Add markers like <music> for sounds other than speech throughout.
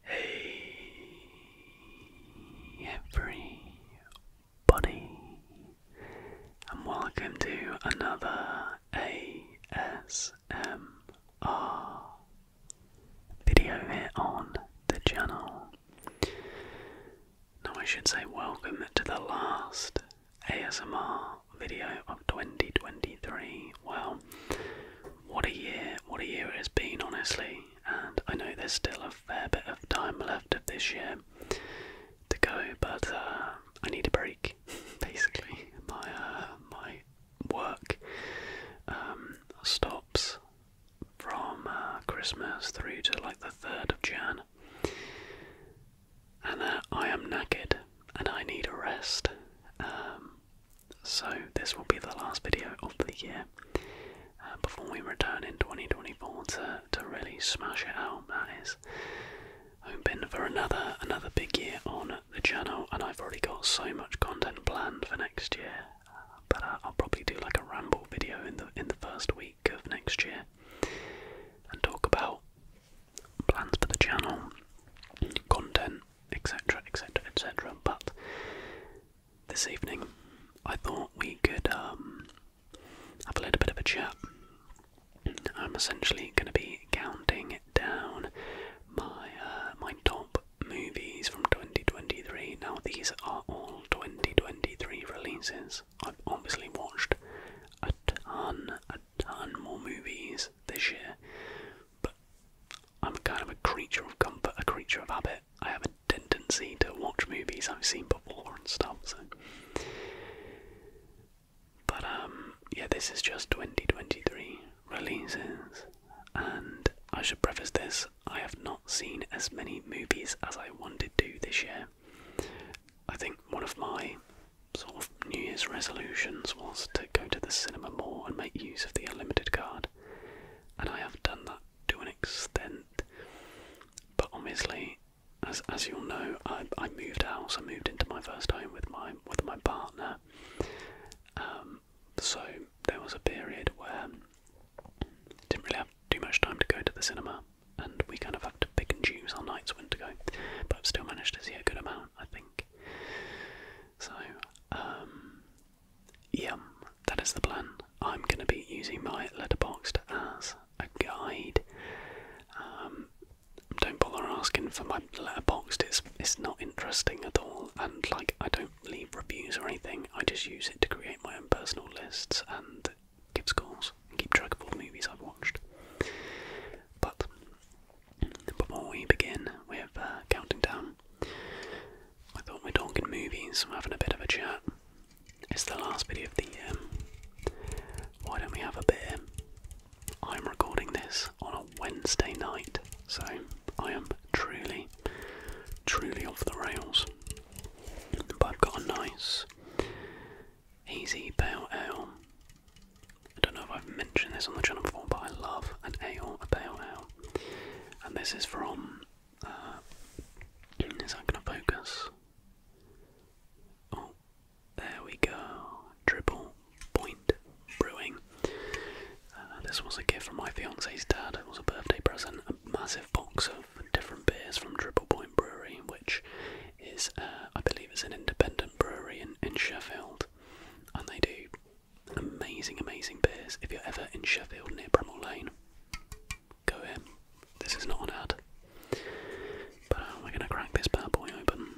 Hey everybody and welcome to another ASMR video here on the channel. Now I should say welcome to the last ASMR video of 2023. Well, what a year, what a year it has been honestly and I know there's still a fair bit of time left of this year to go, but uh, I need a break. <laughs> Basically, my uh, my work um, stops from uh, Christmas through to like the third of Jan, and I am knackered and I need a rest. Um, so, this will be the last video of the year uh, before we return in 2024 to, to really smash it out. That is hoping for another another big year on the channel, and I've already got so much content planned for next year. Uh, but uh, I'll probably do like a ramble video in the in the first week of next year and talk about plans for the channel, content, etc., etc., etc. But this evening, I thought we could um, have a little bit of a chat. I'm essentially going to be counting down my uh, my top movies from 2023. Now these are all 2023 releases. I've obviously watched a ton, a ton more movies this year, but I'm kind of a creature of comfort, a creature of habit. I have a tendency to watch movies I've seen before and stuff. So, but um, yeah, this is just 2023 releases, and I should preface this: I have not seen as many movies as I wanted to this year. I think one of my sort of New Year's resolutions was to go to the cinema more and make use of the unlimited card and I have done that to an extent. But obviously, as as you'll know, I I moved house. I moved into my first home with my with my partner. Um, so there was a period where I didn't really have too much time to go to the cinema, and we kind of have to pick and choose our nights when to go. But I've still managed to see a good amount, I think. So um, Yum, that is the plan. I'm going to be using my letterboxed as a guide. Um, don't bother asking for my letterboxed, it's, it's not interesting at all. And like, I don't leave reviews or anything, I just use it to create my own personal lists and give scores and keep track of all the movies I've watched. But before we begin with uh, counting down, I thought we're talking movies, we're having a bit of a chat. It's the last video of the year. Why don't we have a beer? I'm recording this on a Wednesday night, so I am truly, truly off the rails. But I've got a nice, easy pale ale. I don't know if I've mentioned this on the channel before, but I love an ale, a pale ale and this is from. Uh, is that going to focus? Oh, there we go. Triple Point Brewing. Uh, this was a gift from my fiance's dad. It was a birthday present. A massive box of different beers from Triple Point Brewery, which is, uh, I believe, is an independent brewery in, in Sheffield, and they do Amazing, amazing beers. If you're ever in Sheffield near Bramall Lane, go in. This is not an ad. But uh, we're going to crack this bad boy open.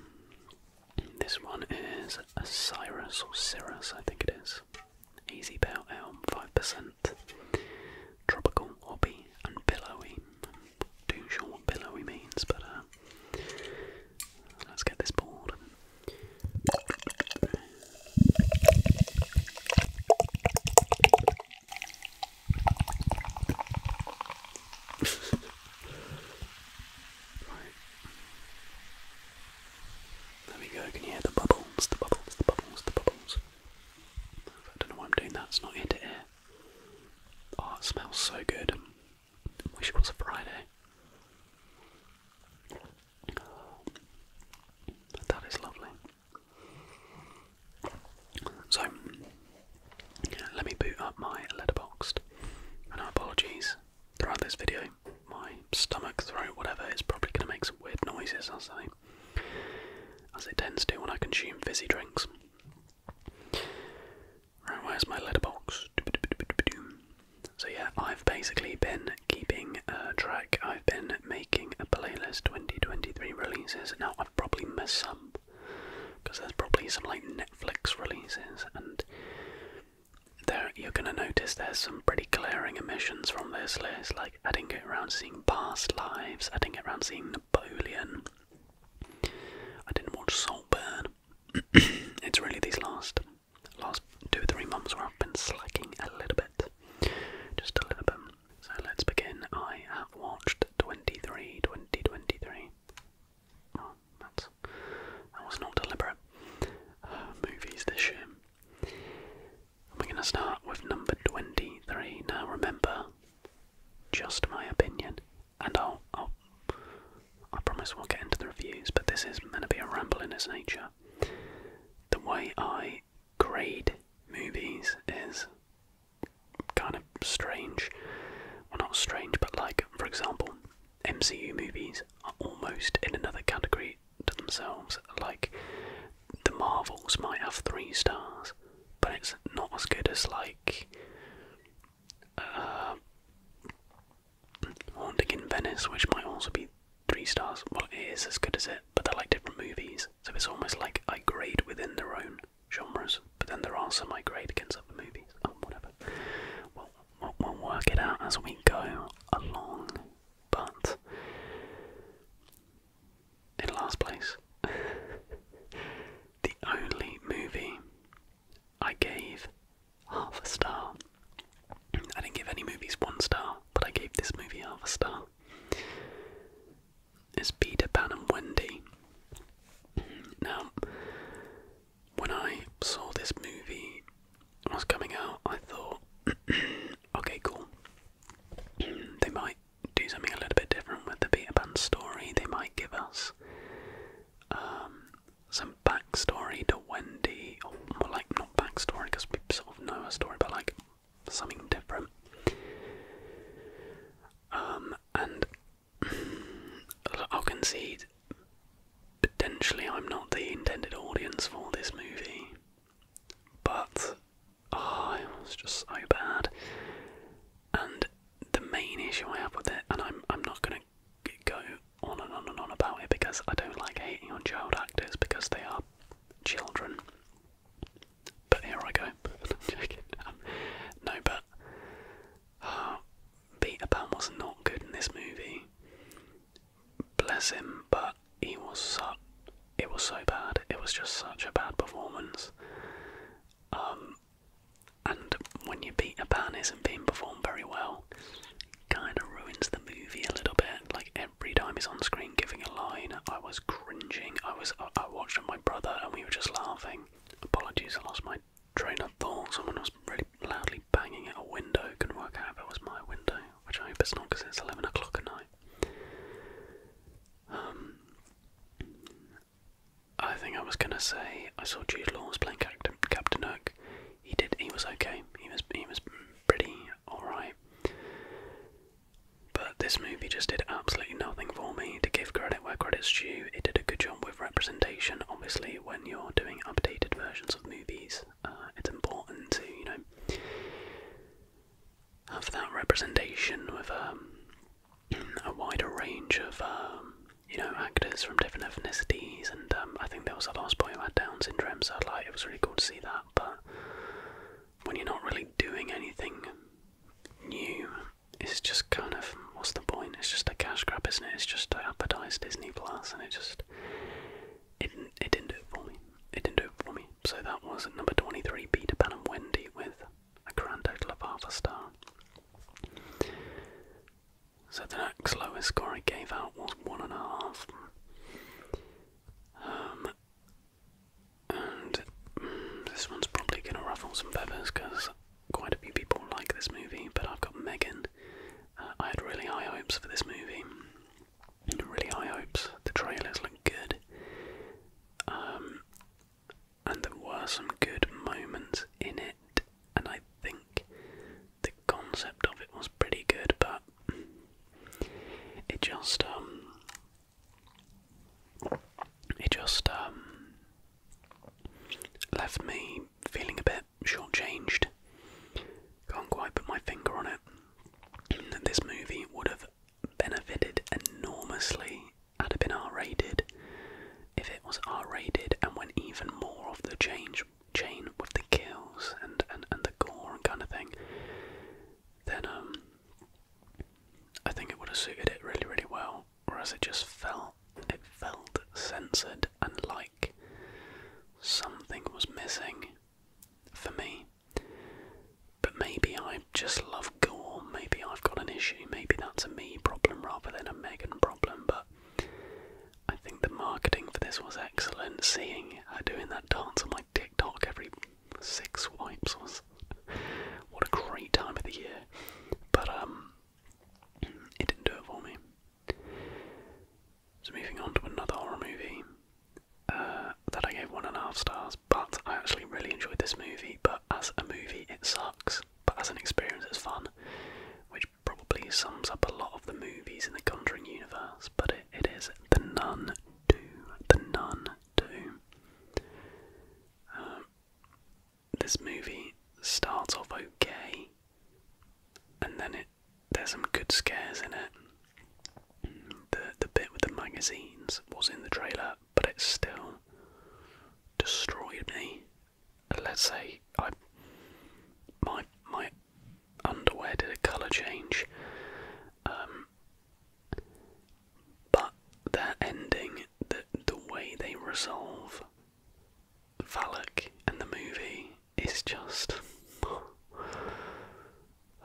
This one is a or Cirrus, I think it is. Easy Bow Elm, 5%. Tropical, hobby, and billowy. Too sure what billowy means, but uh, let's get this board. There we go, can you hear the bubbles, the bubbles, the bubbles, the bubbles? I don't know why I'm doing that, it's not ear to Oh, it smells so good. Wish it was a Friday. That is lovely. So, let me boot up my letterboxed. And apologies throughout this video, my stomach, throat, whatever, is probably going to make some weird noises, as, I, as it tends to when I consume fizzy drinks. Right, where's my letterbox? So, yeah, I've basically been keeping uh, track. I've been making a playlist 2023 releases. Now, I've probably missed some because there's probably some like Netflix releases, and there you're going to notice there's some pretty glaring omissions from this list. Like, I didn't get around seeing Past Lives, I didn't get around seeing Napoleon, I didn't watch Saltburn. <clears throat> it's really these last last two or three months where I've been slacking a little bit. Just a little bit. So let's begin. I have watched 23, 2023. Oh, that's, that was not deliberate. <sighs> movies this year. we're going to start with number 23. Now remember, just my opinion. And I'll, i promise we'll get into the reviews, but this is going to be a ramble in its nature. The way I grade movies is kind of strange. Well, not strange, but like, for example, MCU movies are almost in another category to themselves. Like, the Marvels might have three stars, but it's not as good as, like, uh, Haunting in Venice, which might also be three stars. Well, it is as good as it, but they're like different movies, so it's almost like I grade within their own genres. But then there are some I grade against other movies. Oh, whatever. we we'll work it out as we go along. But in last place, <laughs> the only movie I gave half a star I didn't give any movies one star, but I gave this movie half a star. It's Peter Pan and Wendy. Now, when I saw this movie was coming out, I thought, <clears throat> okay, cool. they might do something a little bit different with the Peter Pan story. They might give us um, some backstory to. Wendy, or more like not backstory because we sort of know her story, but like something different. Um, and I'll concede potentially I'm not the intended audience for this movie, but oh, it was just so bad. And the main issue I have with it, and I'm I'm not gonna go on and on and on about it because I don't like hating on child actors because they are children. But here I go. <laughs> no, but uh, Peter was not good in this movie. Bless him, but he was so it was so bad. It was just such a bad performance. Um, and when your Peter Pan isn't being performed very well, kind of ruins the movie a little bit. Like every time he's on screen giving a line, I was cringing. I was I, watched with my brother and we were just laughing. Apologies, I lost my train of thought. Someone was really loudly banging at a window. could work out if it was my window, which I hope it's not because it's eleven o'clock at night. Um, I think I was gonna say I saw Jude Law's playing Captain Captain Hook he did. He was okay. He was he was pretty alright. But this movie just did absolutely nothing for me. To give credit where credit's due, it did a good job with representation. Obviously, when you're doing updated versions of movies, uh, it's important to you know have that representation with um, a wider range of um, you know actors from different ethnicities. And um, I think there was a last boy who had Down syndrome, so like it was really cool to see that but when you're not really doing anything new, it's just kind of what's the point? It's just a cash grab, isn't it? It's just to advertise Disney Plus, and it just it didn't it didn't do it for me. It didn't do it for me. So that was number twenty three, Peter Pan and Wendy with a grand total of half a star. So the next lowest score I gave out was one and a half. Um, and this one's probably going to ruffle some feathers because quite a few people like this movie, but I've got Megan. Uh, I had really high hopes for this movie. Really high hopes. The trailers look good. Um, and there were some good moments in it, and I think the concept of it was pretty good, but it just um, it just um, left me feeling a bit shortchanged. Can't quite put my finger on it. this movie would have benefited enormously had it been R-rated. If it was R-rated and went even more of the change chain with the kills and, and, and the gore and kind of thing, then um, I think it would have suited it really, really well. Whereas it just felt, it felt censored and like something was missing for me. But maybe I just love gore, maybe I've got an issue, maybe that's a me problem rather than a Megan problem, but I think the marketing for this was excellent seeing her doing that dance on my TikTok every six wipes was what a great time of the year. But um it didn't do it for me. So moving on to another horror movie. Uh, that I gave one and a half stars, but I actually really enjoyed this movie. But as a movie, it sucks, but as an experience, it's fun, which probably sums up a lot of the movies in the Conjuring universe. But it is the nun do, the nun do. Um, this movie starts off okay, and then it there's some good scares in it. The the bit with the magazines was in the trailer, but it still destroyed me. Let's say I my my underwear did a colour change. Um, but that ending, the, the way they resolve Valak and the movie is just.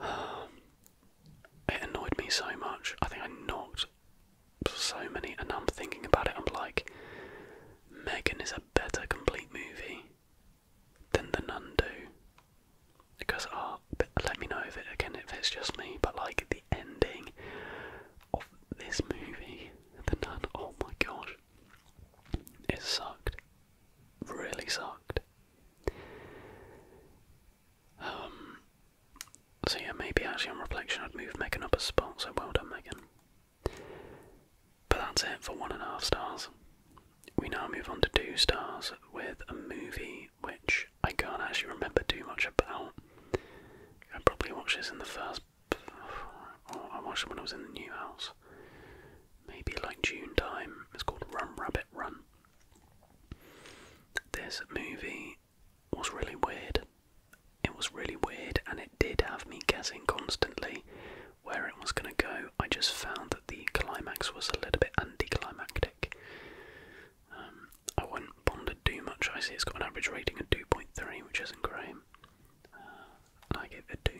<sighs> it annoyed me so much. I think I knocked so many, and I'm thinking about it, I'm like, Megan is a better complete movie than the none do. Because, uh, let me know if it again if it's just me, but like the ending of this movie, the nun, oh my gosh, it sucked, really sucked. Um, so yeah, maybe actually on reflection, I'd move Megan up a spot. So well done, Megan. But that's it for one and a half stars. We now move on to two stars with a movie which I can't actually remember too much about. I probably watched this in the first. Oh, I watched it when I was in the new house. Maybe like June time. It's called Run Rabbit Run. This movie was really weird. It was really weird and it did have me guessing constantly where it was going to go. I just found that the climax was a little bit anticlimactic. Um, I wouldn't ponder too much. I see it's got an average rating of 2.3, which isn't great. Uh, I gave it 2.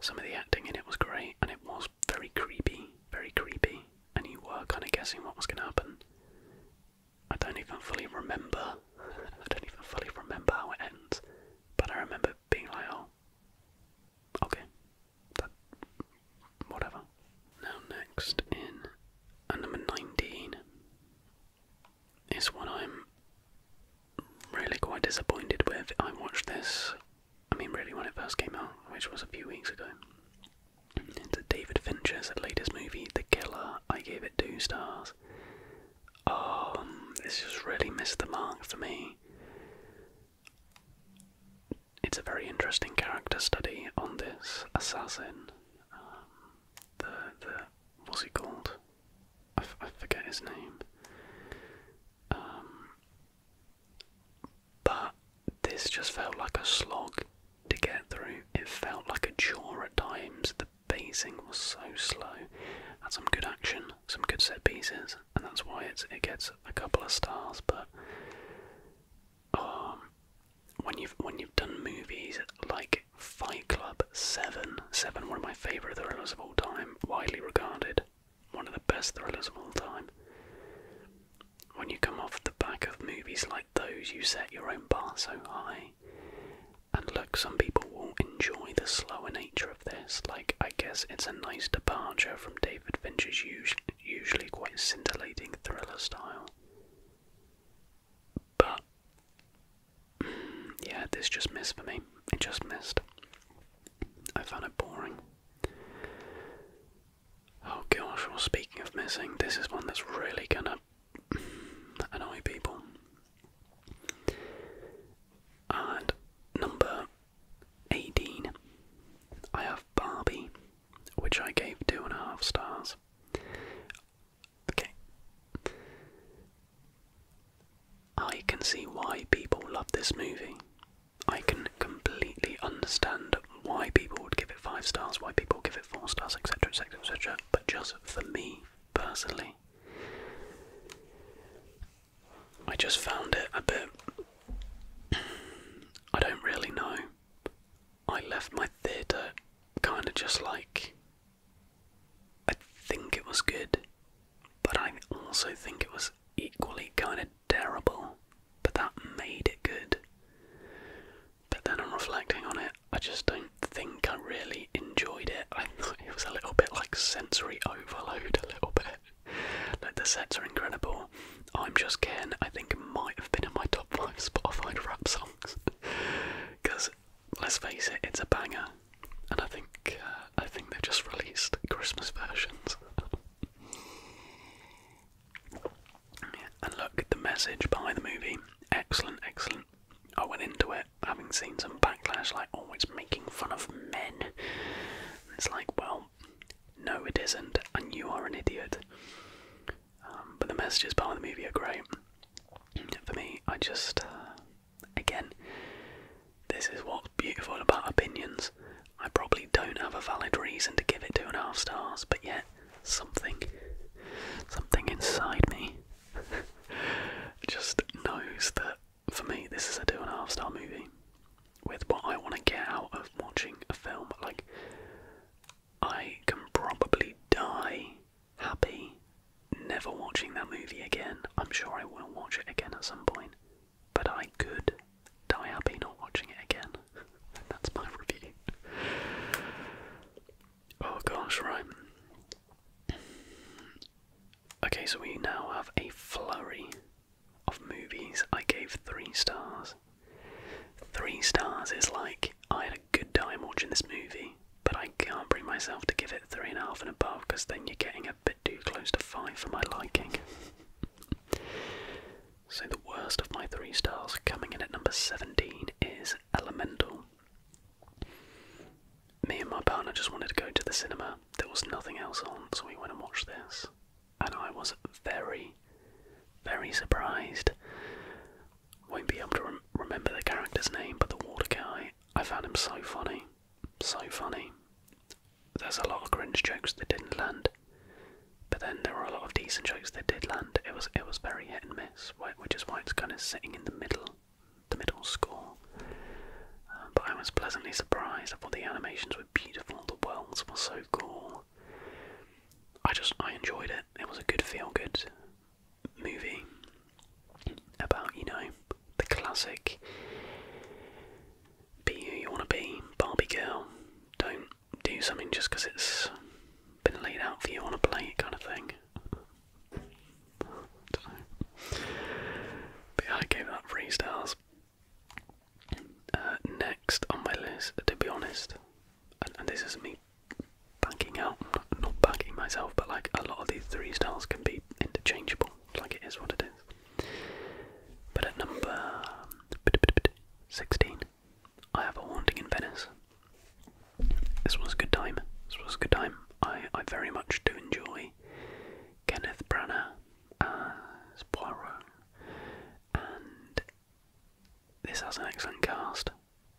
Some of the acting in it was great, and it was very creepy, very creepy, and you were kind of guessing what was going to happen. I don't even fully remember. <laughs> I don't even fully remember how it ends, but I remember being like, oh, Okay. That whatever. Now next in uh, number nineteen is one I'm really quite disappointed with. I watched this I mean really when it first came out, which was a few weeks ago. It's a David Fincher's latest movie, The Killer. I gave it two stars. Um, this just really missed the mark for me it's a very interesting character study on this assassin. Um, the the what's he called? I forget his name. Um, but this just felt like a slog to get through. It felt like a chore at times. The pacing was so slow. Had some good action, some good set pieces, and that's why it's, it gets a couple of stars. But um, when you've when you've done movies like Fight Club, Seven, Seven, one of my favorite thrillers of all time, widely regarded, one of the best thrillers of all time. When you come off the back of movies like those, you set your own bar so high. And look, some people will enjoy the slower nature this. Like, I guess it's a nice departure from David Fincher's usually quite scintillating thriller style. But, yeah, this just missed for me. It just missed. I found it boring. Oh gosh, well, speaking of missing, this is one that's really gonna annoy people. And number 18. I have Barbie, which I gave two and a half stars. Okay. I can see why people love this movie. I can completely understand why people would give it five stars, why people give it four stars, etc., etc., etc., but just for me personally, I just found it a bit. <clears throat> I don't really know. I left my theatre kind of just like. I think it was good, but I also think it was equally kind of terrible, but that made it good. But then I'm reflecting on it, I just don't think I really enjoyed it. I thought it was a little bit like sensory overload, a little bit. Like the sets are incredible. I'm Just kidding. I think, might have been in my top 5 Spotify <laughs> rap songs. Because, let's face it, it's a banger. And I think, uh, I think they've just released Christmas versions. <laughs> and look, the message behind the movie, excellent, excellent. I went into it having seen some backlash, like, oh, it's making fun of men. it's like, well, no, it isn't, and you are an idiot. Um, but the messages part of the movie are great. For me, I just, uh, again, this is what's beautiful about opinions. I probably don't have a valid reason to give it two and a half stars, but yet, something, something inside me <laughs> just knows that for me, this is a two and a half star movie with what I want to get out of watching a film. Like, I can probably die happy never watching that movie again. I'm sure I will watch it again at some point, but I could die happy not watching it again. <laughs> That's my <laughs> review. Oh gosh, right. Okay, so we now have a flurry of movies, I gave three stars. Three stars is like I had a good time watching this movie, but I can't bring myself to give it three and a half and above because then you're getting a bit too close to five for my liking. <laughs> so the worst of my three stars coming in at number 17 is Elemental. Me and my partner just wanted to go to the cinema. There was nothing else on, so we went and watched this and I was very, very surprised. Won't be able to remember the character's name, but the water guy, I found him so funny. So funny. There's a lot of cringe jokes that didn't land, but then there were a lot of decent jokes that did land. It was it was very hit and miss, which is why it's kind of sitting in the middle, the middle score but I was pleasantly surprised. I thought the animations were beautiful, the worlds were so cool. I just I enjoyed it. It was a good feel good movie about, you know, the classic be who you want to be, Barbie girl. Don't do something just because it's been laid out for you on a plate kind of thing. <laughs> But yeah, I gave that three uh, next on my list, to be honest, and, this is me backing out, not, not backing myself, but like a lot of these three styles can be interchangeable, like it is what it is. But at number 16, I have a haunting in Venice. This was a good time. This was a good time. I, I very much do enjoy Kenneth Branagh as and this has an excellent cast.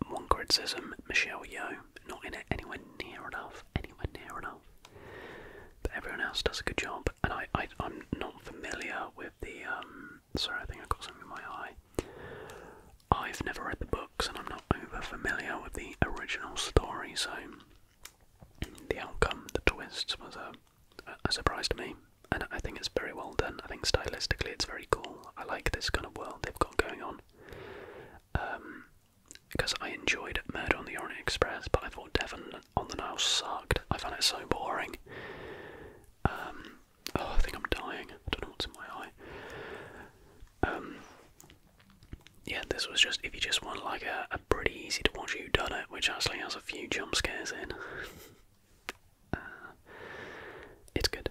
One criticism: Michelle Yeoh, not in it anywhere near enough, anywhere near enough. But everyone else does a good job, and I, I am not familiar with the. Um, sorry, I think I got something in my eye. I've never read the books, and I'm not over familiar with the original story, so the outcome, the twists, was a a surprise to me, and I think it's very well done. I think stylistically it's very cool. I like this kind of world they've got going on. because um, I enjoyed Murder on the Orient Express, but I thought Devon on the Nile sucked. I found it so boring. Um, oh, I think I'm dying. I don't know what's in my eye. Um, yeah, this was just if you just want like a, pretty easy to watch you done which actually has a few jump scares in. Uh, it's good.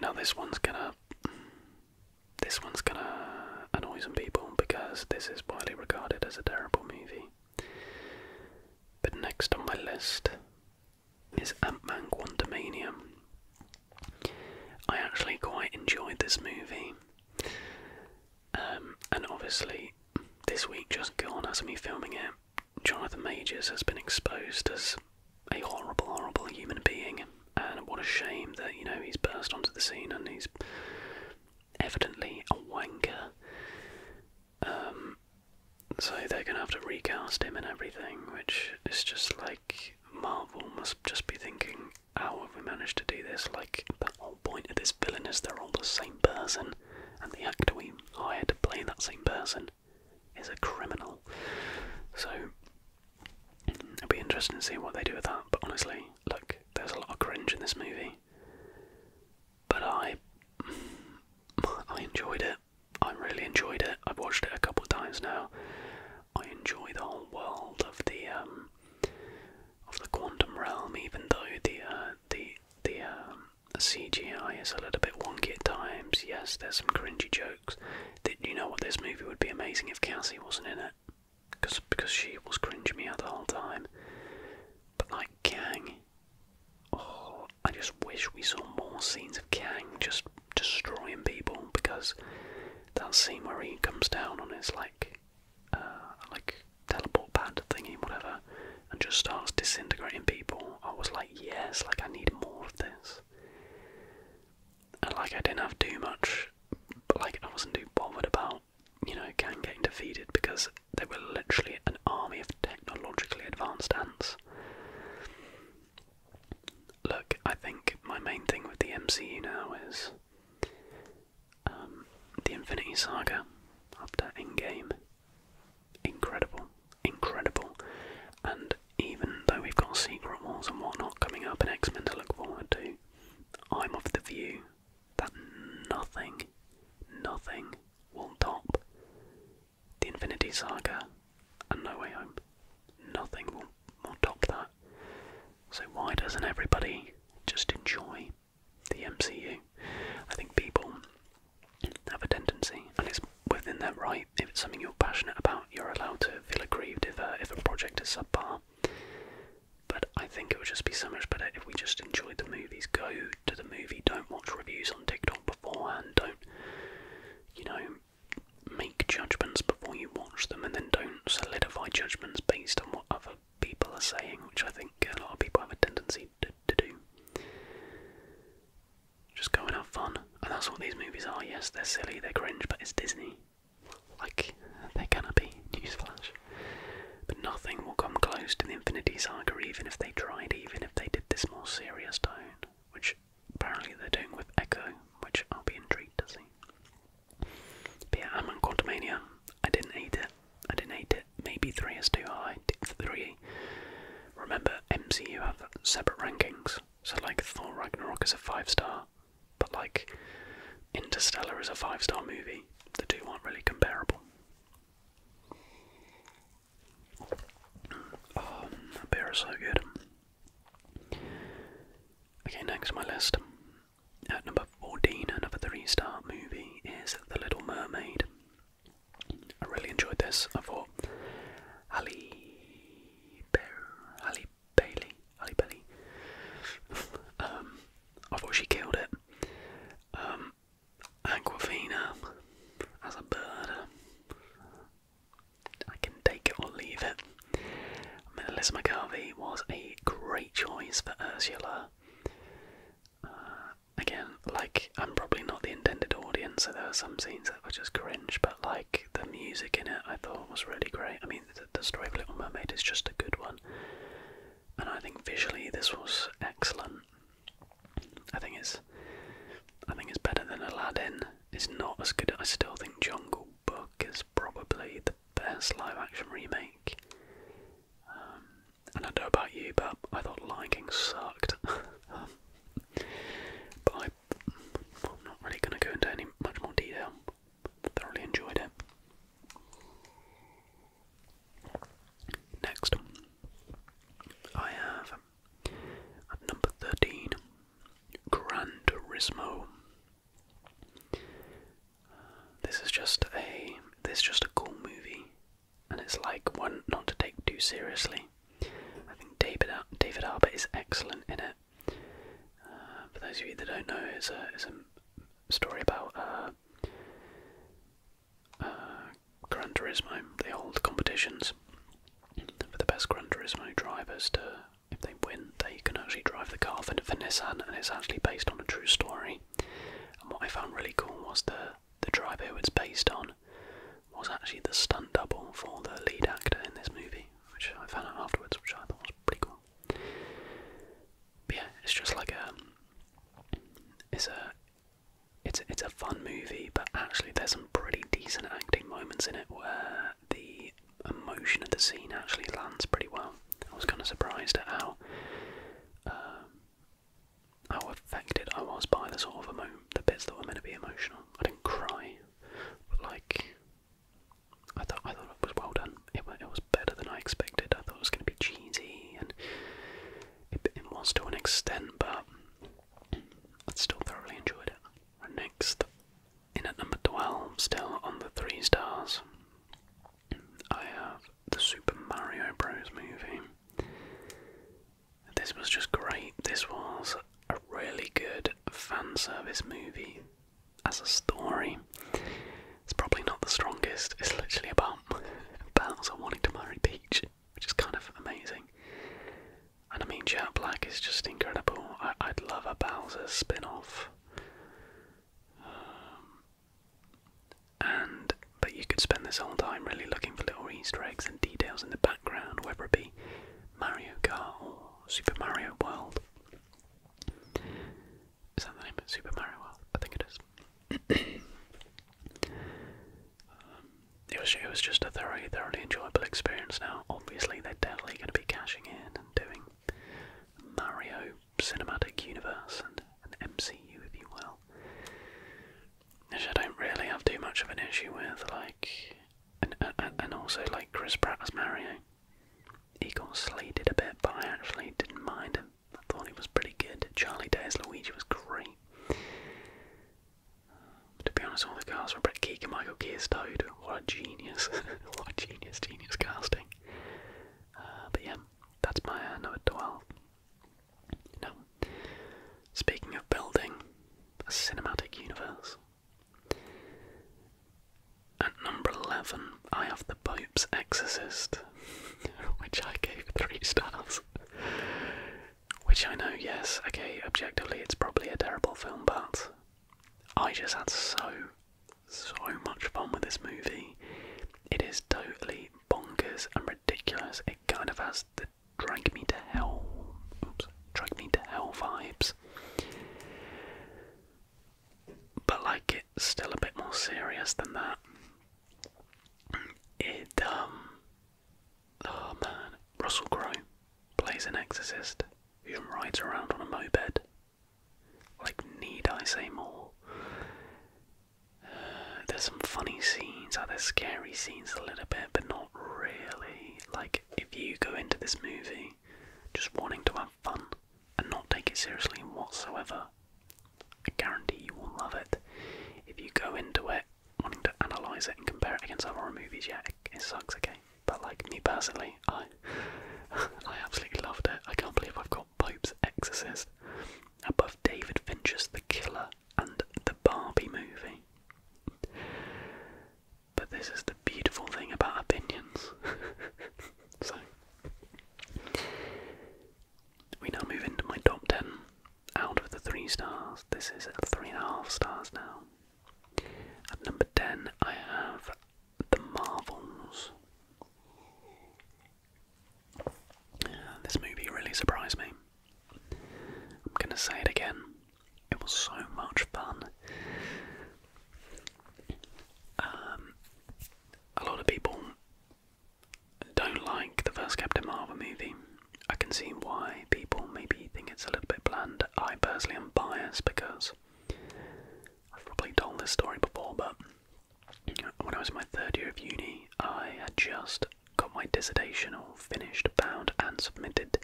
Now this one's gonna, this one's gonna annoy some people because this is widely regarded as a terrible movie. But next on my list is Ant-Man Quantumania. I actually quite enjoyed this movie. Um, and obviously, this week just gone as me filming it, Jonathan Majors has been exposed as a horrible, horrible human being, and what a shame that you know he's burst onto the scene and he's evidently a wanker. Um, so they're gonna have to recast him and everything, which is just like Marvel must just be thinking, how have we managed to do this? Like, the whole point of this villain is they're all the same person, and the actor we hired to play that same person is a criminal. So, it'll be interesting to see what they do with that. But honestly, look, there's a lot of cringe in this movie. But I. <sighs> I enjoyed it. I really enjoyed it. I've watched it a couple times now. I enjoy the whole world of the um, of the quantum realm, even though the uh, the the um, CGI is a little bit wonky at times. Yes, there's some cringy jokes. Did you know what? This movie would be amazing if Cassie wasn't in it, because because she was cringing me out the whole time. But like Kang, oh, I just wish we saw more scenes of Kang just destroying people because that scene where he comes down on his like uh, like teleport pad thingy, whatever, and just starts disintegrating people, I was like, yes, like I need more of this. And like I didn't have too much, but like I wasn't too bothered about, you know, gang getting defeated because they were literally an army of technologically advanced ants. Look, I think my main thing with the MCU now is um, the Infinity Saga after Endgame. Incredible, incredible. And even though we've got Secret Wars and whatnot coming up in X Men to look forward to, I'm of the view that nothing, nothing will top the Infinity Saga and No Way Home. Nothing will, will top that. So why doesn't everybody just enjoy the MCU. I think people have a tendency, and it's within their right, if it's something you're passionate about, you're allowed to feel aggrieved if a, if a project is subpar. But I think it would just be so much better if we just enjoyed the movies. Go to the movie, don't watch reviews on TikTok beforehand, don't, you know, make judgments before you watch them, and then don't solidify judgments based on what other people are saying, which I think a lot of people have a tendency to, do. Just go and have fun. And that's what these movies are. Yes, they're silly, they're cringe, but it's Disney. Like, they're gonna be, newsflash. But nothing will come close to the Infinity Saga, even if they tried, even if they did this more serious tone, which apparently they're doing with Echo, which I'll be intrigued to see. But I'm on Quantumania. I didn't hate it. I didn't hate it. Maybe three is too high. Tick three. Remember, MCU have separate rankings. So like Thor Ragnarok is a five star, but like Interstellar is a five star movie. The two aren't really comparable. Um, that beer is so good. Okay, next on my list at uh, number 14, another three star movie is The Little Mermaid. I really enjoyed this. I thought Ali, Ali Bailey, Ali Bailey. <laughs> um, I thought she killed it. Um, Aquafina as a bird. I can take it or leave it. Melissa McCarthy was a great choice for Ursula uh, again, like I'm probably not the intended audience, so there were some scenes that were just cringe. But like the music in it, I thought was really great. I mean, the, story of Little Mermaid is just a good one, and I think visually this was excellent. I think it's, I think it's better than Aladdin. It's not as good. I still think Jungle Book is probably the best live-action remake. Um, I don't know about you, but I thought Lion King sucked. <laughs> Um, but I, am not really going to go into any much more detail. Thoroughly enjoyed it. Next, I have number thirteen, Gran Turismo. This is just a this is just a cool movie, and it's like one not to take too seriously. I think David David Harbour is excellent in it. Uh, for those of you that don't know, it's a it's a story about Grand uh, uh Turismo. They hold competitions for the best Grand Turismo drivers to. If they win, they can actually drive the car for Nissan, and it's actually based on a true story. And what I found really cool was the the driver who it's based on was actually the stunt double for the lead actor in this movie, which I found out afterwards, which I thought was pretty cool. But yeah, it's just like a um, it's a it's it's a fun movie, but actually there's some pretty decent acting moments in it where the emotion of the scene actually lands pretty well. I was kind of surprised at how uh, how affected I was by the sort of emo the bits that were meant to be emotional. I didn't cry, but like I thought, I thought it was well done. It, was better than I expected. I thought it was going to be cheesy, and it, was to an extent, but I still thoroughly enjoyed it. And next, in at number twelve, still on the three stars, I have the Super Mario Bros. movie. This was just great. This was a really good fan service movie as a story. It's probably not the strongest. It's literally about <laughs> Bowser wanting to marry Peach, which is kind of amazing. And I mean, Jack Black is just incredible. I would love a Bowser spin off. Um, and but you could spend this whole time really looking for little Easter eggs and details in the background, whether it be Mario Kart or Super Mario World. Is that the name of Super Mario World? I think it is. Um, it was it was just a thoroughly thoroughly enjoyable experience. Now, obviously, they're definitely going to be cashing in and doing Mario cinematic universe and an MCU, if you will. Which I don't really have too much of an issue with, like, and, and, also like Chris Pratt as Mario. He got slated a bit, but I actually didn't mind I thought he was pretty good. Charlie Day as Luigi was great. Um, to be honest, all the guys were pretty Keegan, Michael Key What a genius! <laughs> what a genius, genius casting. Uh, but yeah, that's my uh, number 12. Now, speaking of building a cinematic universe, at number 11, I have The Pope's Exorcist, <laughs> which I gave 3 stars. Which I know, yes, okay, objectively it's probably a terrible film, but I just had so, so much fun with this movie. It is totally absolutely and ridiculous. It kind of has the drag me to hell, oops, drag me to hell vibes. But like it's still a bit more serious than that. It um oh man, Russell Crowe plays an exorcist who rides around on a moped. Like need I say more? There's some funny scenes, other scary scenes a little bit, but not really. Like, if you go into this movie just wanting to have fun and not take it seriously whatsoever, I guarantee you will love it. If you go into it wanting to analyse it and compare it against other horror movies, yeah, it, sucks, okay? But, like, me personally, I, <laughs> I absolutely loved it. I can't believe I've got Pope's Exorcist above David Fincher's The Killer and The Barbie Movie. But this is the beautiful thing about opinions. <laughs> so, we now move into my top 10 out of the three stars. This is three and a half stars now. At number 10, I have The Marvels. This movie really surprised me. I'm gonna say it again. It was so much fun. Um, a lot of people don't like the first Captain Marvel movie. I can see why people maybe think it's a little bit bland. I personally am biased because I've probably told this story before, but when I was my third year of uni, I had just got my dissertation all finished, bound, and submitted,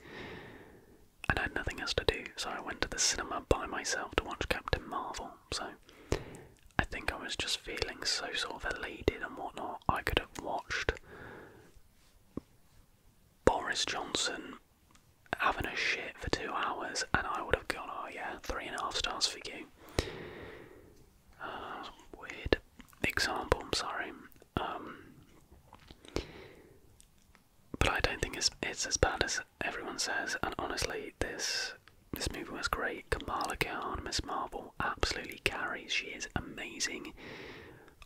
and I had nothing else to do, so I went to the cinema by myself to watch Captain Marvel. So I think I was just feeling so sort of elated and whatnot. I could have watched Boris Johnson having a shit for two hours, and I would have gone, oh yeah, three and a half stars for you. <sighs> weird example, I'm sorry. Um, but I don't think it's it's as bad as everyone says. And honestly, this this movie was great. Kamala Khan, Miss Marvel, absolutely carries. She is amazing.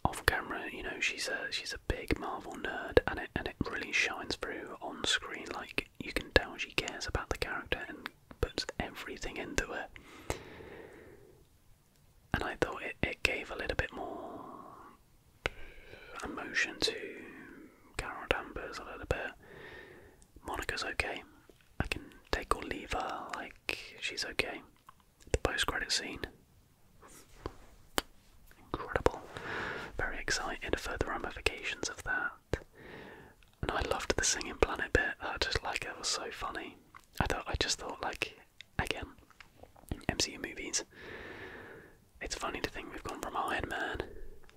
Off camera, you know, she's a she's a big Marvel nerd, and it and it really shines through on screen. Like you can tell she cares about the character and puts everything into it. And I thought it, it gave a little bit more emotion to Carol Danvers a little bit. Monica's okay. I can take or leave her, like, she's okay. The post credit scene. Incredible. Very excited for the ramifications of that. And I loved the singing planet bit. I just like it was so funny. I thought I just thought like again, MCU movies. It's funny to think we've gone from Iron Man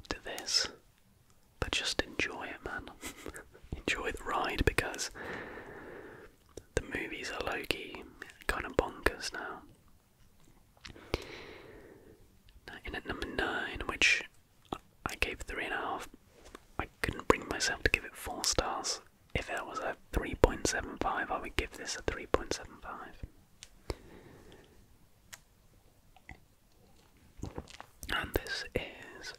to this, but just enjoy it, man. <laughs> enjoy the ride because the movies are low key, kind of bonkers now. now. In at number nine, which I gave three and a half. I couldn't bring myself to give it four stars. If it was a 3.75, I would give this a 3.75. And this is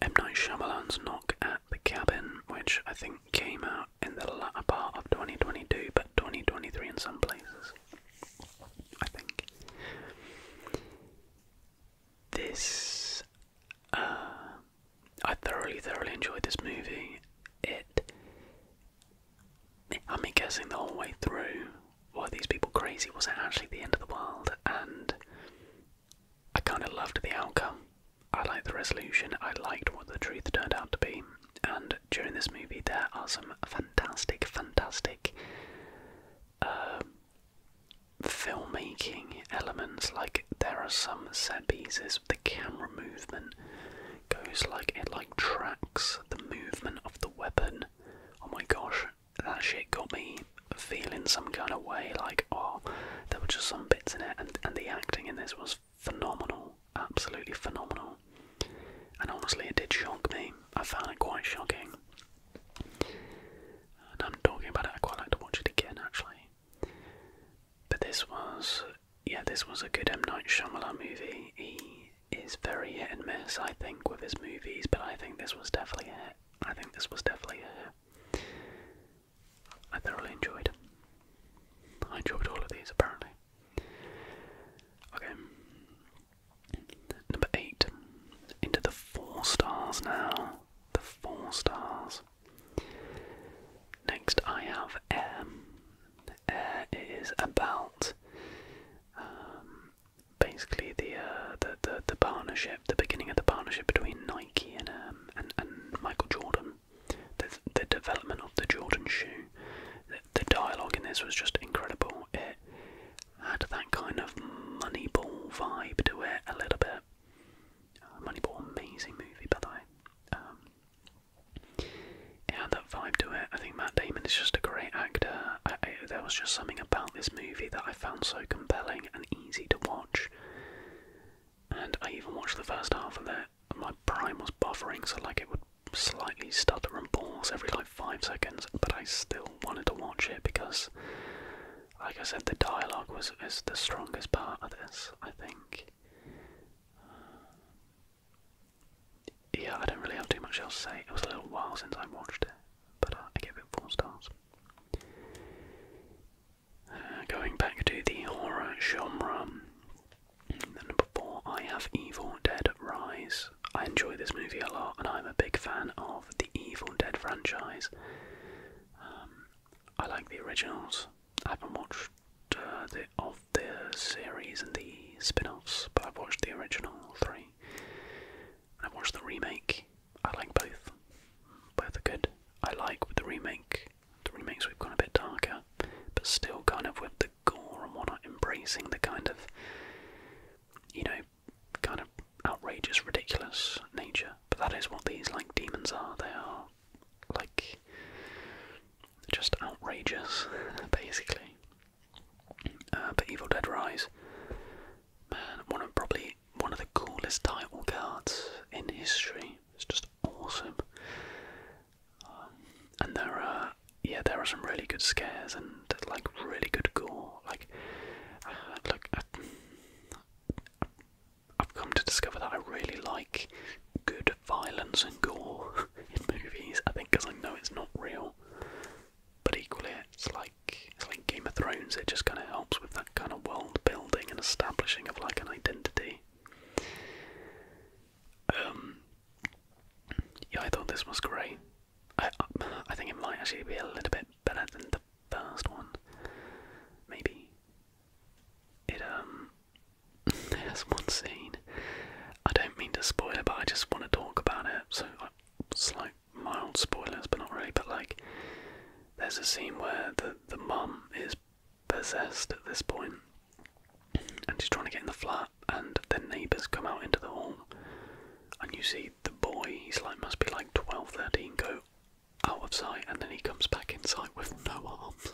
M. Night Shyamalan's Knock at the Cabin, which I think came out in the latter part of 2022, but 2023 in some places. I think. This. Uh, I thoroughly, thoroughly enjoyed this movie. It. I'm guessing the whole way through were these people crazy? Was it actually the end of the world? And I kind of loved the outcome. I liked the resolution. I liked what the truth turned out to be. And during this movie, there are some fantastic, fantastic um, filmmaking elements. Like there are some set pieces, the camera movement goes like it like tracks the movement of the weapon. Oh my gosh, that shit got me feeling some kind of way. Like oh, there were just some bits in it, and and the acting in this was phenomenal, absolutely phenomenal. And honestly, it did shock me. I found it quite shocking. And I'm talking about it, I quite like to watch it again actually. But this was, yeah, this was a good M. Night Shyamalan movie. He is very hit and miss, I think, with his movies, but I think this was definitely a hit. I think this was definitely a hit. I thoroughly enjoyed it. I enjoyed all of these apparently. Okay, Number eight. Into the four stars now. The four stars. Next, I have M. Air is about um, basically uh, the, the the partnership, the beginning of the partnership between Nike and um, and, Michael Jordan. The the development of the Jordan shoe. The, dialogue in this was just incredible had that kind of Moneyball vibe to it a little bit. Uh, Moneyball, amazing movie by the way. Um, it had that vibe to it. I think Matt Damon is just a great actor. there was just something about this movie that I found so compelling and easy to watch. And I even watched the first half of it. My prime was buffering, so like it would slightly stutter and pause every like five seconds, but I still wanted to watch it because, like I said, the dialogue was is the strongest part of this. I think. Uh, yeah, I don't really have too much else to say. It was a little while since I watched it, but uh, I gave it four stars. Uh, going back to the horror genre, the number four, I have Evil Dead Rise. I enjoy this movie a lot and I'm a big fan of the Evil Dead franchise. Um, I like the originals. I haven't watched uh, the, of the series and the spin-offs, but I've watched the original three. I've watched the remake. I like both. Both are good. I like with the remake. The remakes we've gone a bit darker, but still kind of with the gore and whatnot, embracing the kind of, you know, kind of outrageous, ridiculous nature. But that is what these like demons are. They are like just outrageous, <laughs> basically. Uh, but Evil Dead Rise, man, one of probably one of the coolest title cards in history. It's just awesome. Um, and there are yeah, there are some really good scares and like really good gore like, <sighs> look, I, have come to discover that I really like good violence and gore <laughs> in movies. I think because I know it's not real, but equally, it's like it's like Game of Thrones. It just kind of helps with that kind of world building and establishing of like an identity. Um, yeah, I thought this was great. I, think it might actually be a little bit better than the first one. Maybe it um <laughs> there's one scene. I don't mean to spoil it, but I just want to talk about it. So uh, slight mild spoilers, but not really. But like, there's a scene where the the mum is possessed at this point, and she's trying to get in the flat, and the neighbours come out into the hall, and you see the boy, he's like, must be like 12, 13, go out of sight and then he comes back in sight with no arms.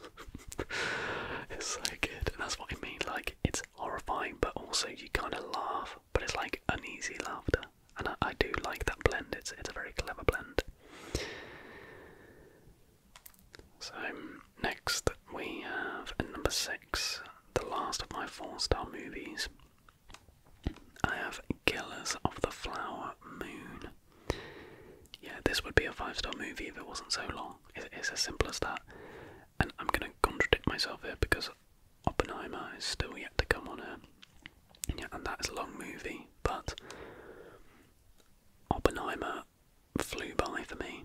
<laughs> it's so good. And that's what I mean, like, it's horrifying, but also you kind of laugh, but it's like uneasy laughter. And I, do like that blend, it's, it's a very clever blend. So, next we have number six, the last of my four star movies, I have Killers of the Flower Moon. Yeah, this would be a five star movie if it wasn't so long. It's as simple as that. And I'm going to contradict myself here because Oppenheimer is still yet to come on air. Yeah, and that is a long movie, but Oppenheimer flew by for me.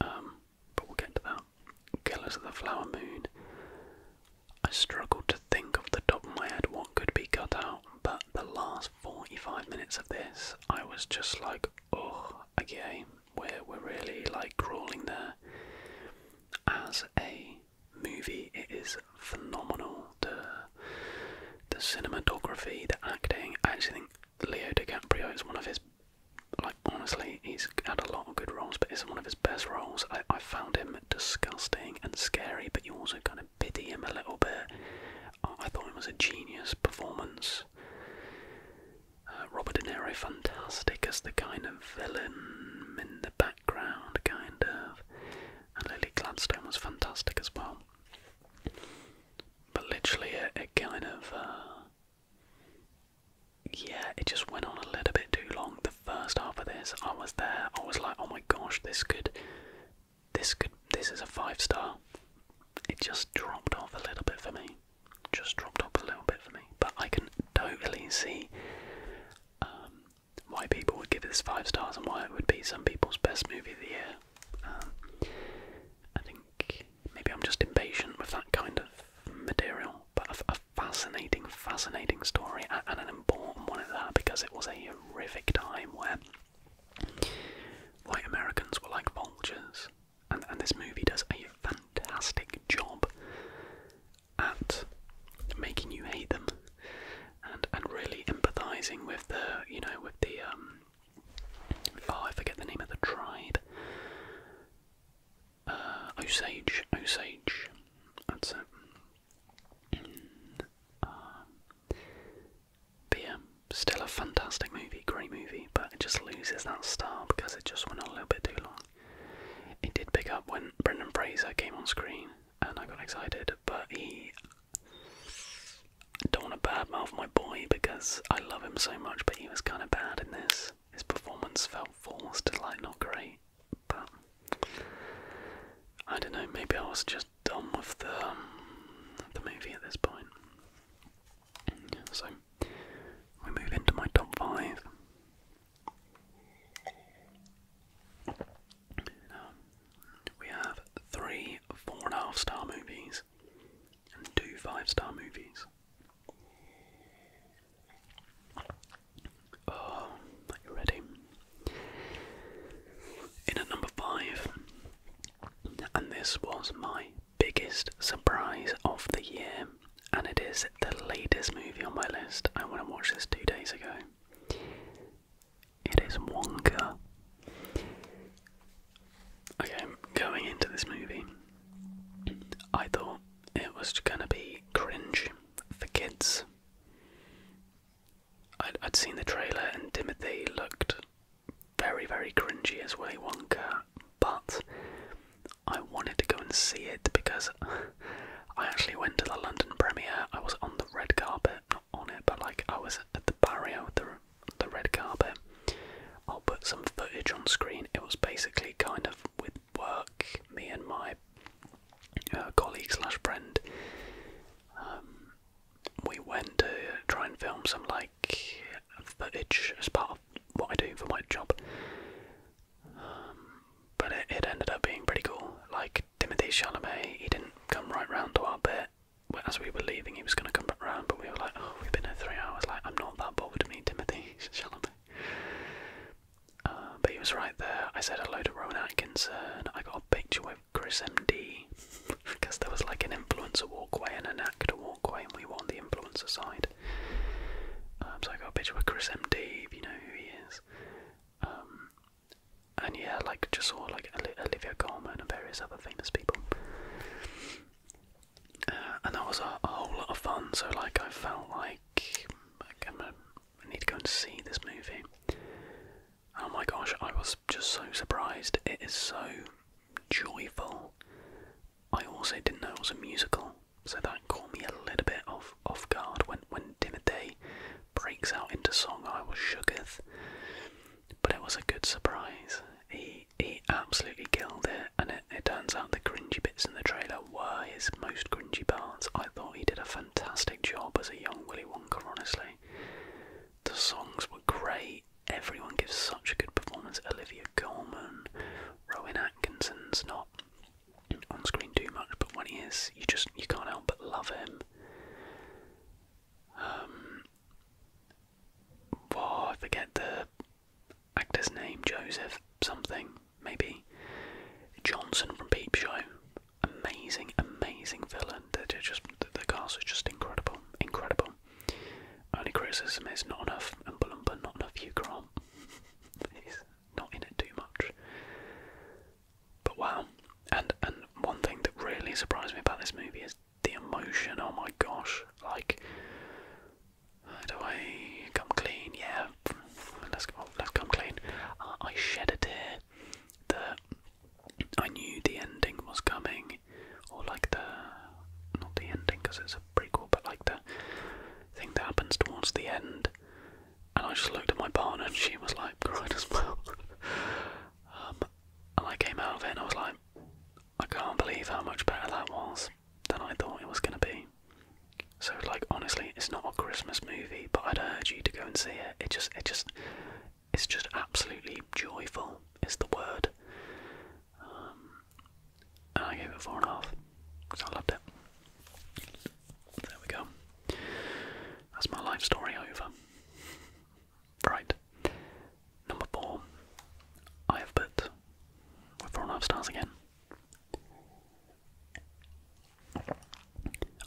Um, but we'll get to that. Killers of the Flower Moon. I struggled to think of the top of my head what could be cut out, but the last 45 minutes of this, I was just like, oh, again, we're, we're really like crawling there. As a movie, it is phenomenal. The, the cinematography, the acting, I actually think Leo DiCaprio is one of his like honestly, he's had a lot of good roles, but it's one of his best roles. I, found him disgusting and scary, but you also kind of pity him a little bit. I, thought it was a genius performance. Uh, Robert De Niro, fantastic as the kind of villain in the background, kind of. And Lily Gladstone was fantastic as well. But literally, it, kind of. Uh, yeah, it just went on a little bit too long. The first half of this, I was there. I was like, oh my gosh, this could, this could, this is a five star. It just dropped off a little bit for me. Just dropped off a little bit for me. But I can totally see um, why people would give this five stars and why it would be some people's best movie of the year. Um, I think maybe I'm just impatient with that kind of material. But a, fascinating, fascinating story and an important one at that because it was a horrific time where white Americans were like vultures. And, and this movie does a fantastic job at making you hate them and and really empathizing with the you know with the um oh I forget the name of the tribe <sighs> Osage, Osage, that's it. Um, still a fantastic movie, great movie, but it just loses that star because it just went on a little bit too long. It did pick up when Brendan Fraser came on screen and I got excited, but he. don't want to badmouth my boy because I love him so much, but he was kind of bad in this his performance felt forced, like not great. But I don't know. Maybe I was just done with the um, the movie at this point. So we move into my top five. Um, we have three four and a half star movies and two five star movies. Oh, you ready? In at number five, and this was my biggest surprise of the year, and it is the latest movie on my list. I went and watched this two days ago. It is Wonka. Okay, going into this movie, I thought it was gonna be cringe for kids. I'd, seen the trailer and Timothy looked very, very cringy as Willy Wonka, but I wanted to go and see it because I actually went to the London premiere. I was on the red carpet, not on it, but like I was at the barrio, the, the red carpet. I'll put some footage on screen. It was basically kind of with work, me and my uh, colleague slash friend, um, we went to try and film some like footage as part of what I do for my job. Um, but it, ended up being pretty cool. Like Timothy Chalamet, he didn't come right round to our bit. As we were leaving, he was going to come back round, but we were like, "Oh, we've been here three hours. Like, I'm not that bothered. Me, Timothy <laughs> Chalamet." Uh, but he was right there. I said hello to Rowan Atkinson. I got a picture with Chris MD because <laughs> there was like an influencer walkway and an actor walkway, and we were on the influencer side. Um, so I got a picture with Chris MD, if you know who he is. Um, and yeah, like just saw like Olivia Colman and various other famous people. Uh, and that was a whole lot of fun. So like I felt like i need to go and see this movie. Oh my gosh, I was just so surprised. It is so joyful. I also didn't know it was a musical, so that caught me a little bit off off guard when when Timothy breaks out into song. I was shooketh, but it was a good surprise. He he absolutely killed it, and it, it turns out the cringy bits in the trailer were his most cringy parts. I thought he did a fantastic job as a young Willy Wonka, honestly. The songs were great. Everyone gives such a good performance. Olivia Colman, Rowan Atkinson's not on screen too much, but when he is, you just you can't help but love him. Um, I forget the actor's name, Joseph something, maybe. Johnson from Peep Show. Amazing, amazing villain. They're just the, cars cast is just incredible, incredible. Only criticism is not enough Oompa not enough Hugh Grant. <laughs> He's not in it too much. But wow. And and one thing that really surprised me about this movie is the emotion, oh my gosh. Like how do I come clean? Yeah, let's let's come clean. Uh, I shed a tear that I knew the ending was coming, or like the not the ending because it's a prequel, but like the thing that happens towards the end. And I just looked at my partner, and she was like crying as well. <laughs> Um, and I came out of it, and I was like, I can't believe how much better that was than I thought it was going to be. So, like, honestly, it's not a Christmas movie, but I'd urge you to go and see it. It just, it just, it's just absolutely joyful. Is the word. Um, and I gave it four and a half I loved it. There we go. That's my life story over. Right. Number four. I have put four and a half stars again.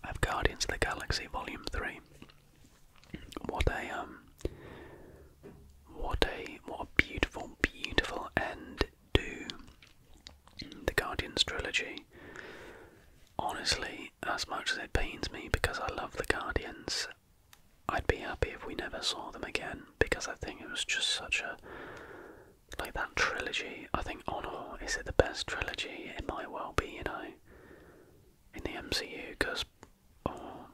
I've Guardians of the Galaxy Volume Three. What a um, what a what a beautiful, beautiful end to the Guardians trilogy. Honestly, as much as it pains me because I love the Guardians, I'd be happy if we never saw them again because I think it was just such a like that trilogy. I think Honor is it the best trilogy? It might well be, you know, in the MCU because, oh,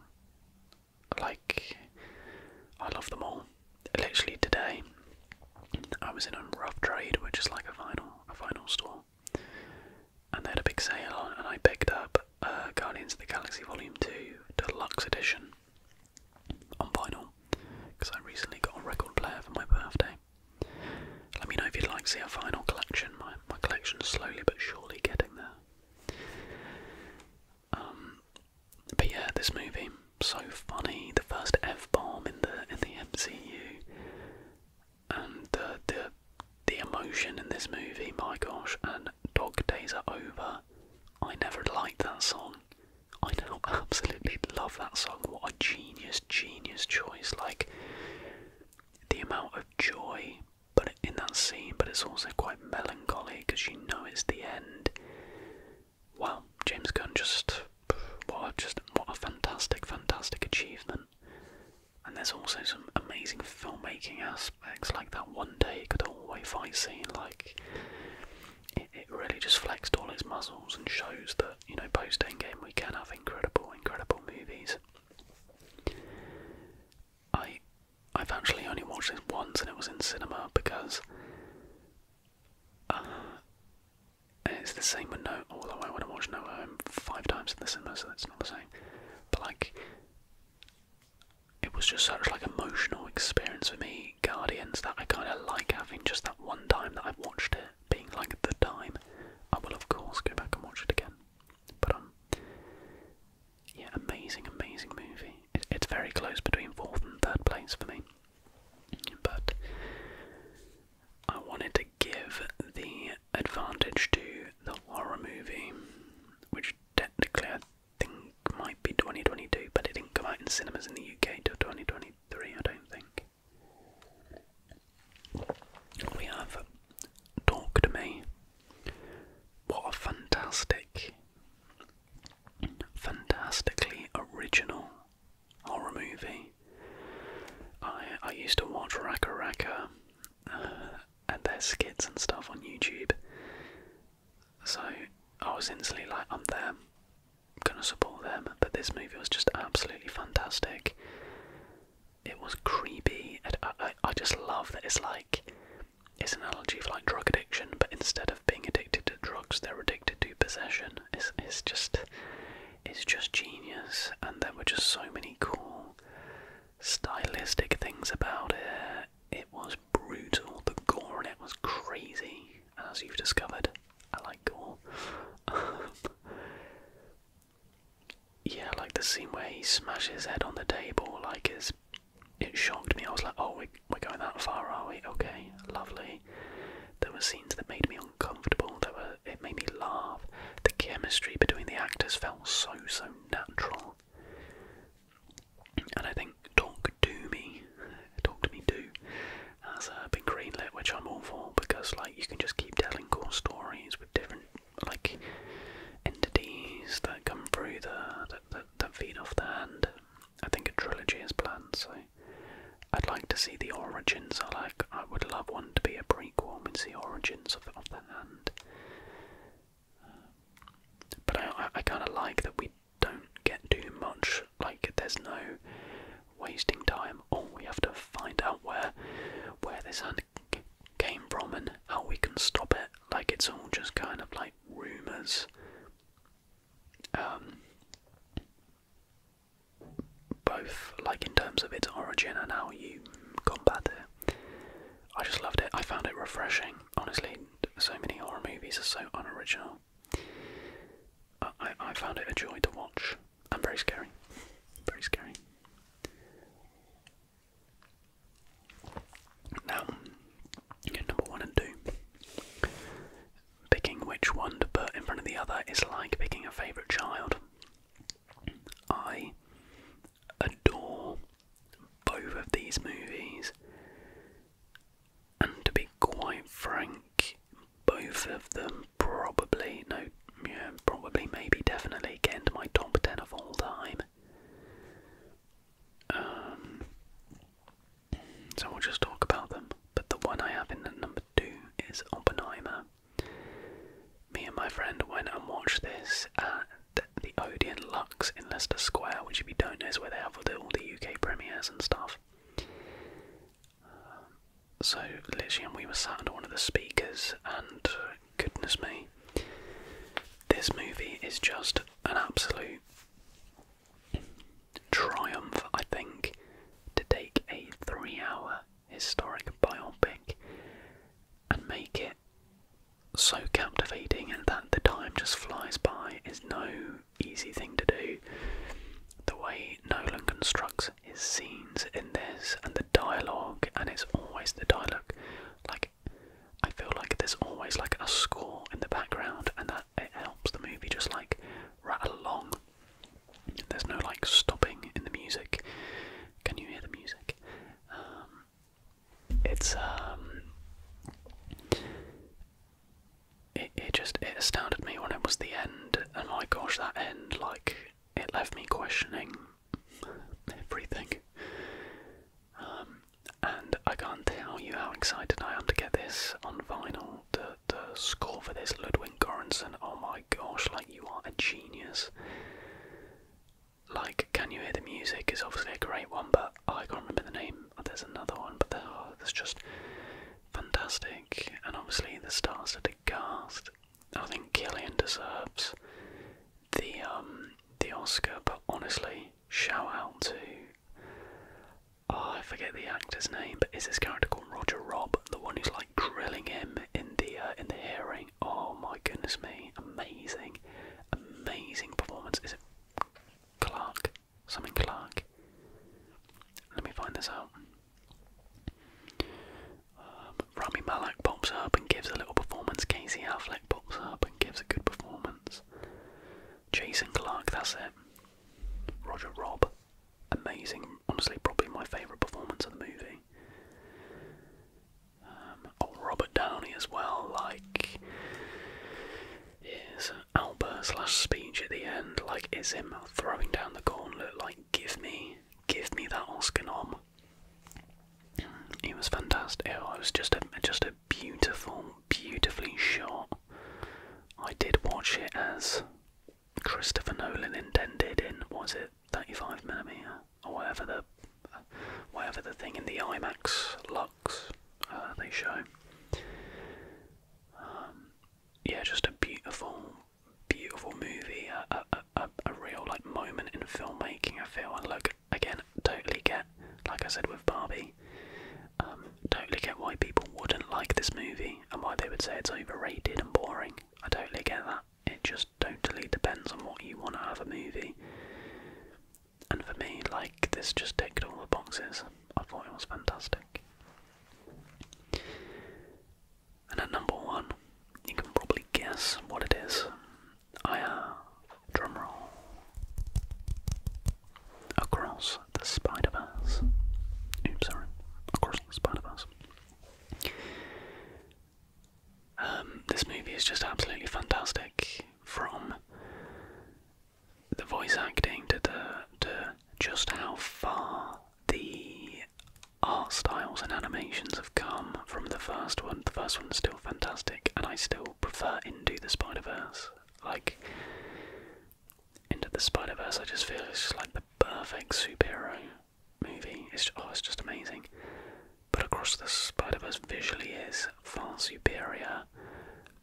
like, I love them all. Literally today, I was in a rough trade, which is like a final, a vinyl store, and they had a big sale on, and I picked up uh, Guardians of the Galaxy Volume Two Deluxe Edition on vinyl because I recently got a record player for my birthday. Let me know if you'd like to see a vinyl collection. My my collection's slowly but surely getting there. Um, but yeah, this movie so funny. The first f bomb in the in the MCU, and the the the emotion in this movie. My gosh, and Dog Days Are Over. I never liked that song. I <laughs> absolutely love that song. What a genius, genius choice. Like the amount of joy but in that scene, but it's also quite melancholy because you know it's the end. Wow, James Gunn just what just what a fantastic, fantastic achievement. And there's also some amazing filmmaking aspects, like that one day could all fight scene, like it, really just flexed all its muscles and shows that, you know, post Endgame we can have incredible, incredible movies. I I've actually only watched this once and it was in cinema because uh, it's the same with No although I want to watch No Home five times in the cinema so that's not the same. But like it was just such like emotional experience for me Guardians that I kind of like having just that one time that I've watched it being like the time. I will, of course, go back and watch it again. But, um, yeah, amazing, amazing movie. it's very close between fourth and third place for me. But I wanted to give the advantage to the horror movie, which technically I think might be 2022, but it didn't come out in cinemas in the UK till 2023 three, I don't think. We have Talk to Me. What a fantastic, fantastically original horror movie. I I used to watch Raka Raka uh, and their skits and stuff on YouTube. So I was instantly like, I'm there gonna support them, but this movie was just absolutely fantastic. It was creepy. I, I, just love that it's like it's an analogy for like drug addiction, but instead of being addicted to drugs, they're addicted to possession. It's it's just it's just genius, and there were just so many cool stylistic things about it. It was brutal. The gore and it was crazy as you've discovered, I like gore. <laughs> yeah, like the scene where he smashes his head on the table, like is it shocked me. I was like, oh, we, are going that far, are we? Okay, lovely. There were scenes that made me uncomfortable. There were it made me laugh. The chemistry between the actors felt so so natural. And I think Talk to Talk to Me Do has uh, been greenlit, which I'm all for because like you can just keep telling cool stories with different like entities that come through the that, that, that feed off the hand. I think a trilogy is planned, so I'd like to see the origins. I like I would love one to be a prequel and see origins of of the hand. Uh, but I I, I kind of like that we don't get too much. Like there's no wasting time. All we have to find out where where this hand came from and how we can stop it. Like it's all just kind of like rumors. Um, both like in terms of its origin and how you combat it. I just loved it. I found it refreshing. Honestly, so many horror movies are so unoriginal. I, I, found it a joy to watch and very scary. Very scary. Now, number one and two. Picking which one to put in front of the other is like picking a favourite child. I adore both of these movies and to be quite frank, both of them probably, no, yeah, probably, maybe, definitely get into my top 10 of all time. Um, so we'll just talk about them. But the one I have in at number 2 is Oppenheimer. Me and my friend went and watched this at the Odeon Lux in Leicester Square, which, if you don't know, is where they have all the UK premieres and stuff so literally, and we were sat under one of the speakers, and goodness me, this movie is just an absolute triumph. I think to take a three-hour historic biopic and make it so captivating, and that the time just flies by is no easy thing to do. The way Nolan constructs his scenes in this and the dialogue, and it's always the dialogue. Like, I feel like there's always like a score in the background, and that it helps the movie just like rattle along. There's no like stopping in the music. Can you hear the music? Um, it's um, it, just it astounded me when it was the end, and my gosh, that end like it left me questioning everything. Um, and I can't tell you how excited I am to get this on vinyl. The score for this Ludwig Göransson. Oh my gosh, like you are a genius. Like, can you hear the music? It's obviously a great one, but I can't remember the name. There's another one, but there's just fantastic, and obviously the stars of the cast. I think Gillian deserves the um, the Oscar, but honestly, shout out to oh, I forget the actor's name, but is this character called Roger Rob, the one who's like drilling him in the uh, in the hearing? Oh my goodness me, amazing, amazing performance. Is it Clark? Something Clark. Let me find this out. Um, Rami Malek pops up and gives a little performance. Casey Affleck pops up and gives a good performance. Jason Clark, that's it. Roger Robb, amazing. Honestly, probably my favourite performance of the movie. Um, oh, Robert Downey as well, like, is outburst slash speech at the end, like it's him throwing down the gauntlet, like give me, give me that Oscar nom. It was fantastic. Oh, it was just a just a beautiful, beautifully shot. I did watch it as Christopher Nolan intended in was it 35 millimeter or whatever the whatever the thing in the IMAX looks uh, they show. Um, yeah, just a beautiful, beautiful movie, a, a, a, a real like moment in filmmaking. I feel and look again, totally get, like I said with Barbie, um, totally get why people wouldn't like this movie and why they would say it's overrated and boring. I totally get that. It just totally depends on what you want out of a movie. And for me, like this, just ticked all the boxes. I thought it was fantastic. And at number one, you can probably guess what it is. I have, uh, drumroll, Across the Spider-Verse. Oops, sorry. Across the Spider-Verse. Um, this movie is just absolutely fantastic from the voice acting to the to just how far the art styles and animations have come from the first one. The first one's still fantastic, and I still prefer Into the Spider Verse. Like, Into the Spider Verse, I just feel it's just like the perfect superhero movie. It's oh, it's just amazing. But Across the Spider Verse visually is far superior.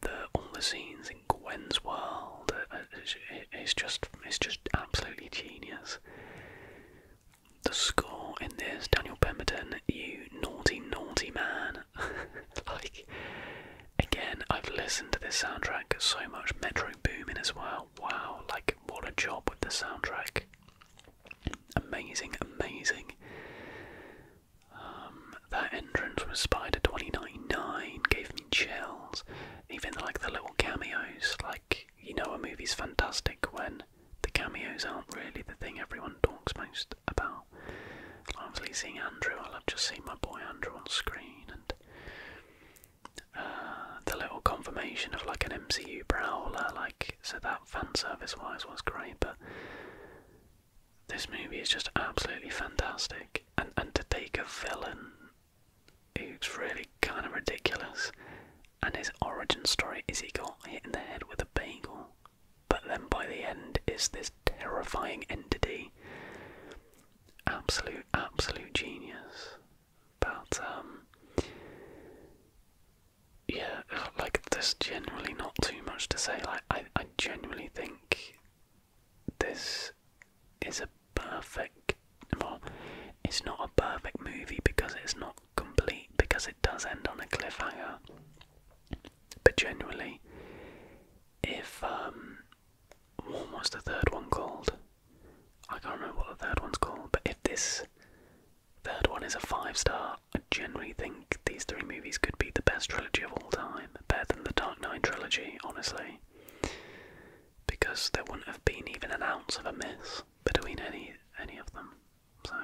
The all the scenes, Gwen's world. Uh, uh, it's just, it's just absolutely genius. The score in this, Daniel Pemberton, you naughty, naughty man. <laughs> like, again, I've listened to this soundtrack so much. Metro Boomin as well. Wow, like, what a job with the soundtrack. Amazing, amazing. Um, that entrance with Spider 2099 gave me chills even like the little cameos. Like you know, a movie's fantastic when the cameos aren't really the thing everyone talks most about. Obviously, seeing Andrew, I love just seeing my boy Andrew on screen, and uh, the little confirmation of like an MCU prowler. Like so, that fan service wise was great, but. This movie is just absolutely fantastic, and and to take a villain it's really kind of ridiculous, and his origin story is he got hit in the head with a bagel, but then by the end is this terrifying entity. Absolute, absolute genius. But, um, yeah, like, there's generally not too much to say. Like, I, I genuinely think this is a perfect well it's not a perfect movie because it's not complete because it does end on a cliffhanger but generally if um what was the third one called i can't remember what the third one's called but if this third one is a five star i generally think these three movies could be the best trilogy of all time better than the dark knight trilogy honestly because there wouldn't have been even an ounce of a miss between any any of them. So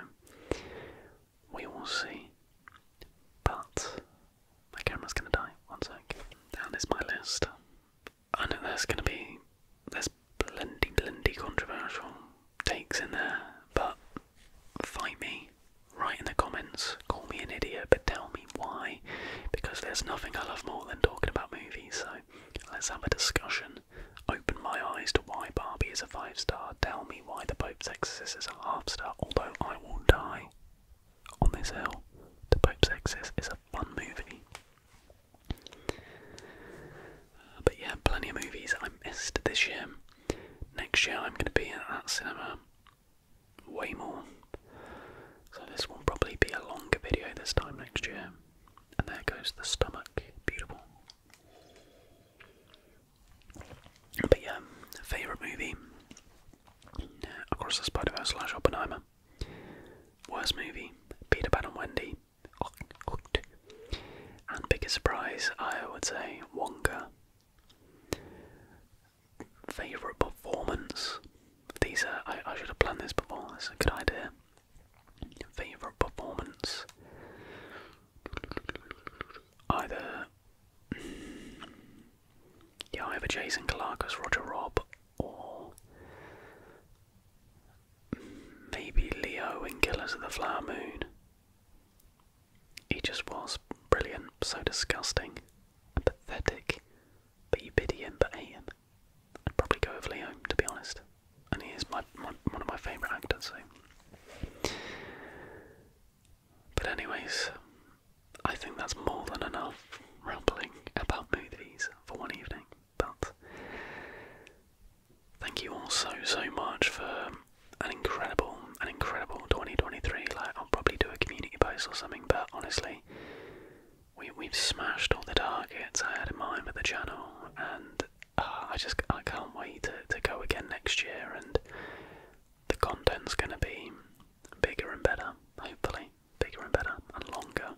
we will see. But my camera's gonna die. One sec. Down is my list. I know there's gonna be there's plenty, plenty controversial takes in there, but fight me. Write in the comments, call me an idiot, but tell me why, because there's nothing I love more than talking about movies, so let's have a discussion. Open my eyes to why Barbie is a five star. Tell me why The Pope's Exorcist is a half star, although I will die on this hill. The Pope's Exorcist is a fun movie. but yeah, plenty of movies I missed this year. Next year I'm going to be at that cinema way more. So this will probably be a longer video this time next year. And there goes the stomach. Beautiful. But yeah, favourite movie. Uh, Across the Spider-Verse slash Oppenheimer. Worst movie, Peter Pan and Wendy. And bigger surprise, I would say Wonka. Favourite performance. These are, I, should have planned this before, It's a good idea. Favourite performance. Either. Hmm, yeah, either Jason Clarke as Roger Robb, or maybe Leo in Killers of the Flower Moon. He just was brilliant, so disgusting pathetic. But you pity him, but hate him. I'd probably go with Leo, to be honest. And he is my, my one of my favourite actors, so. But anyways, I think that's more than enough rambling about movies for one evening. But thank you all so so much for an incredible, an incredible 2023. Like I'll probably do a community post or something, but honestly, we we've smashed all the targets I had in mind for the channel, and ah, I just I can't wait to to go again next year, and the content's gonna be bigger and better, hopefully bigger and better and longer.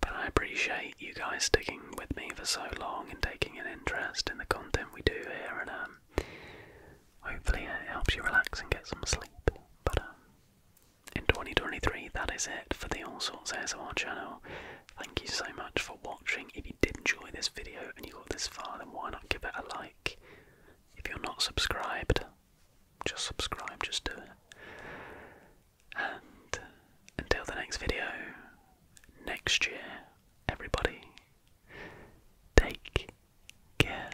But I appreciate you guys sticking with me for so long and taking an interest in the content we do here, and um, hopefully it helps you relax and get some sleep. But um, in 2023, that is it for the All Sorts our channel. Thank you so much for watching. If you did enjoy this video and you got this far, then why not give it a like? If you're not subscribed, just subscribe, just do it. And until the next video, next year, everybody, take care.